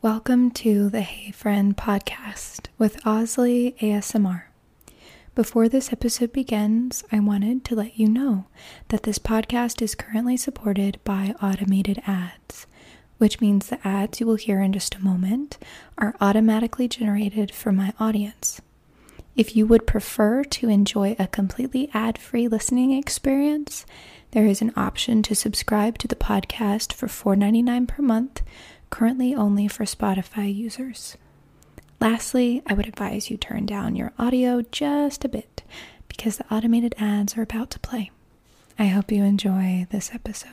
Welcome to the Hey Friend podcast with Osley ASMR. Before this episode begins, I wanted to let you know that this podcast is currently supported by automated ads, which means the ads you will hear in just a moment are automatically generated for my audience. If you would prefer to enjoy a completely ad free listening experience, there is an option to subscribe to the podcast for $4.99 per month, currently only for Spotify users. Lastly, I would advise you turn down your audio just a bit because the automated ads are about to play. I hope you enjoy this episode.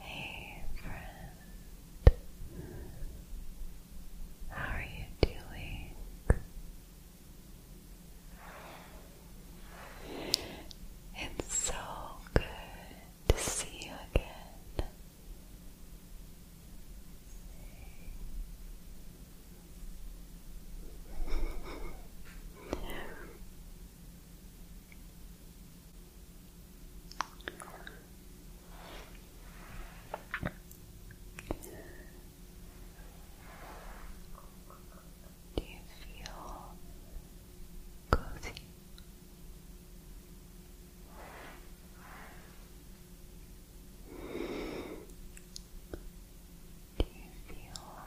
Hey friend, how are you doing? It's so good to see you again. Do you feel cozy? Do you feel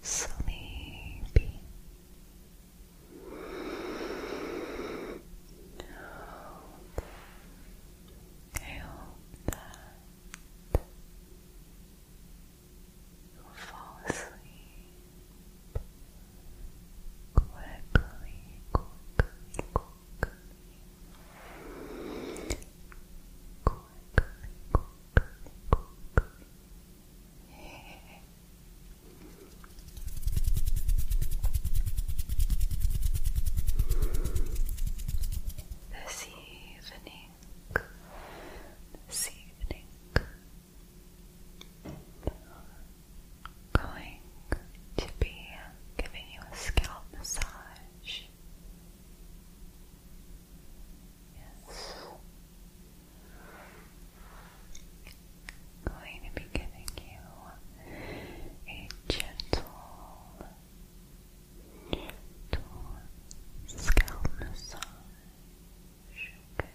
sleepy? I that fall asleep quickly, quickly, quickly, quickly, quickly, quickly. Yeah. This evening, evening, this evening, going to be giving you a scalp massage. Yes. going to be giving you a gentle scalp massage brush, okay.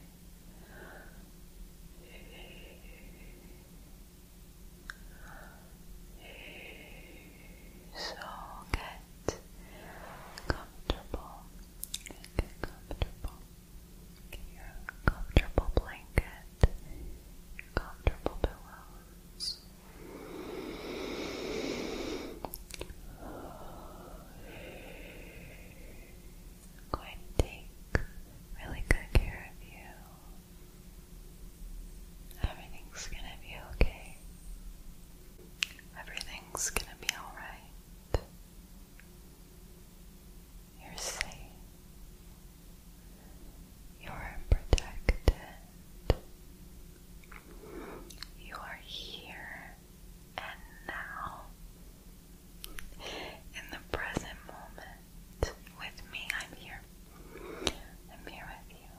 So get comfortable. Get comfortable. Get your comfortable blanket. comfortable pillows. I'm going to take really good care of you. Everything's gonna be okay. Everything's gonna be alright. You're safe. You're protected. You are here and now, in the present moment, with me, I'm here. I'm here with you.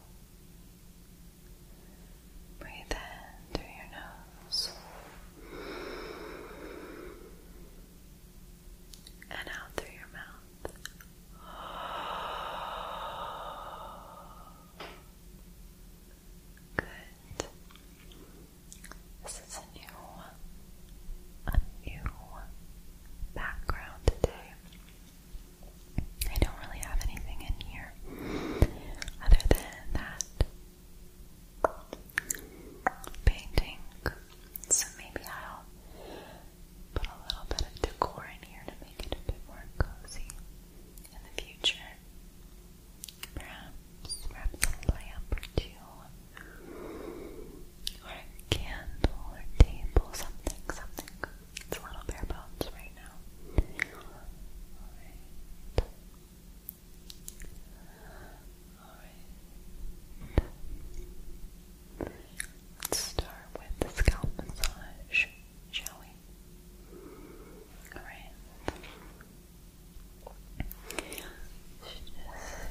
Breathe in through your nose and out through your mouth. Good. This is a new, a new background today. I don't really have anything in here other than that painting. So maybe I'll put a little bit of decor in here to make it a bit more cozy in the future. Perhaps perhaps a lamp or or candle or table, something, something. It's a little bare bones right now. Alright. Alright. Let's start with the scalp massage shall we? Alright. Just focus on your left side, perfect.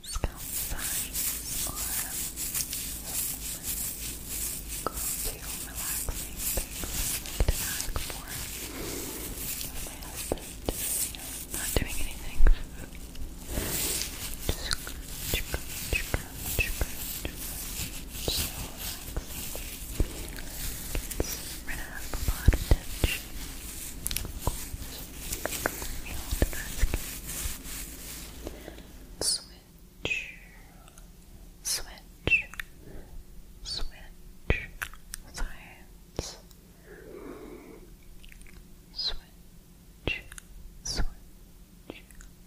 scalp signs or go to relaxing things to ask for. you not doing anything. Just so relaxing. Gets a lot of tension. Switch, switch, switch, science. Switch, switch, switch, science.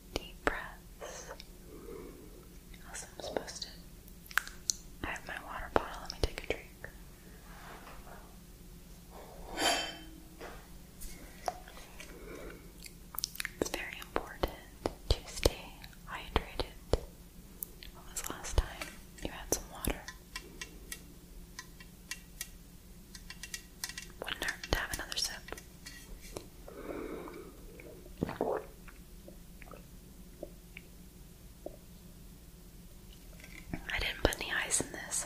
deep breaths. Also, I'm supposed to. I have my water bottle. Let me take a drink. It's very important to stay hydrated. When was last time you had some water? would to have another sip. I didn't put any ice in this.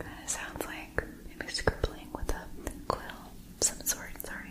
That sounds like maybe scribbling with a quill some sort, sorry.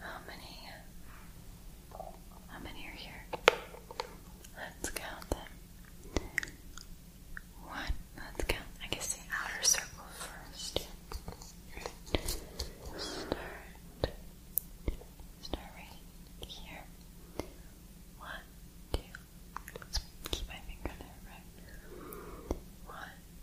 how many? How many are here? Let's count them. One. Let's count. I guess the outer circle first. Start. right here. One, two. Let's keep my finger there, right? One,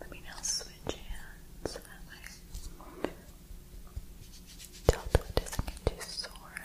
Let me now switch hands so that my delta doesn't get too sore.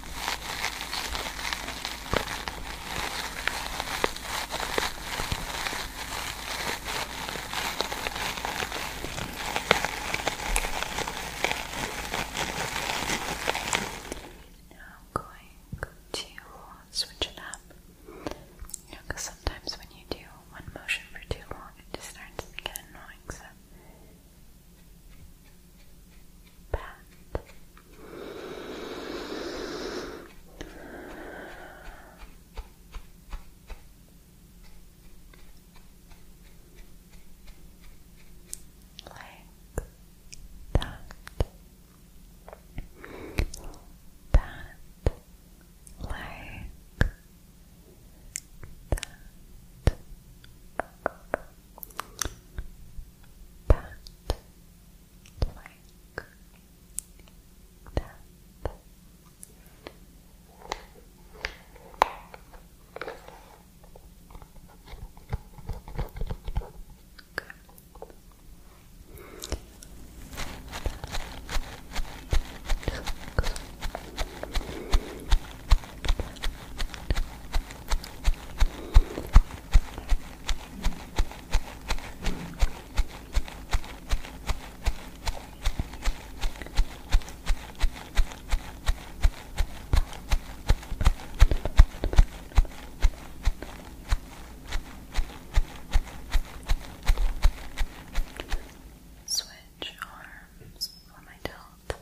Now I'm going to switch it up. You because sometimes when you do one motion for too long, it just starts to get annoying. So pat. Like that. Like that like that. Good. Good. Switch arms on my tilt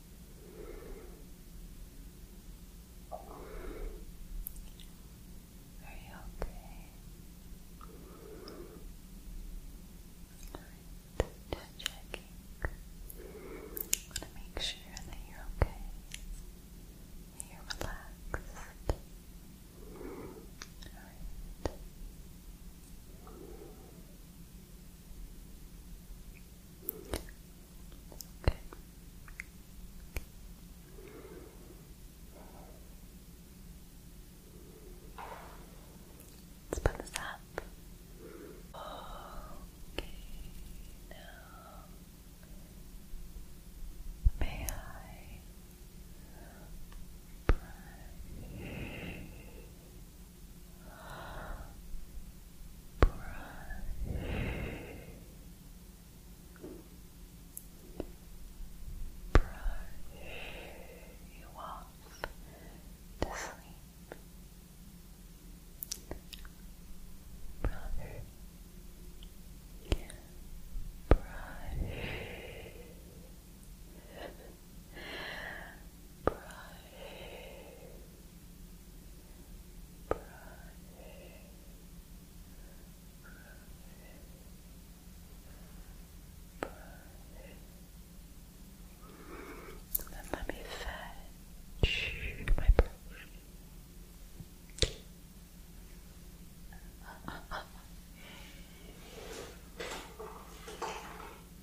Are you okay? just checking. I want to make sure that you're okay. you're relaxed. Alright. Okay. Let's put this up. Okay, now may I brush brush brush you off to sleep brush brush brush, brush, brush, let me fetch my brush.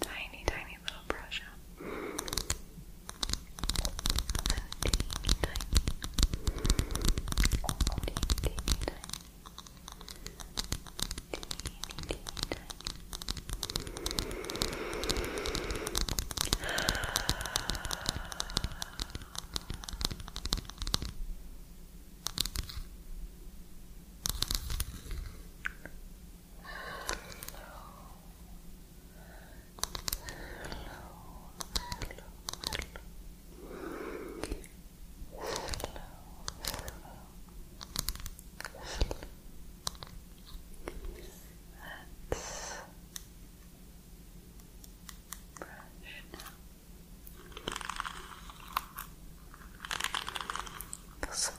Tiny, tiny little brush up. Teeny, tiny. Teeny, teeny, tiny. Teeny, teeny, tiny. Brush now. This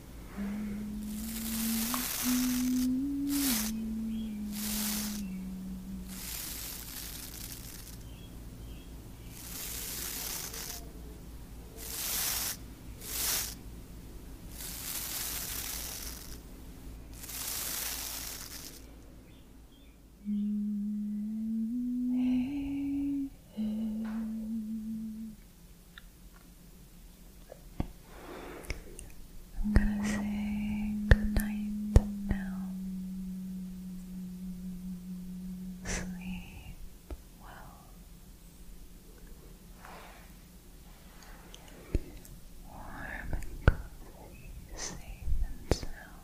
Hey, hey, I'm gonna say goodnight now. Sleep well. Warm and cozy, safe and sound.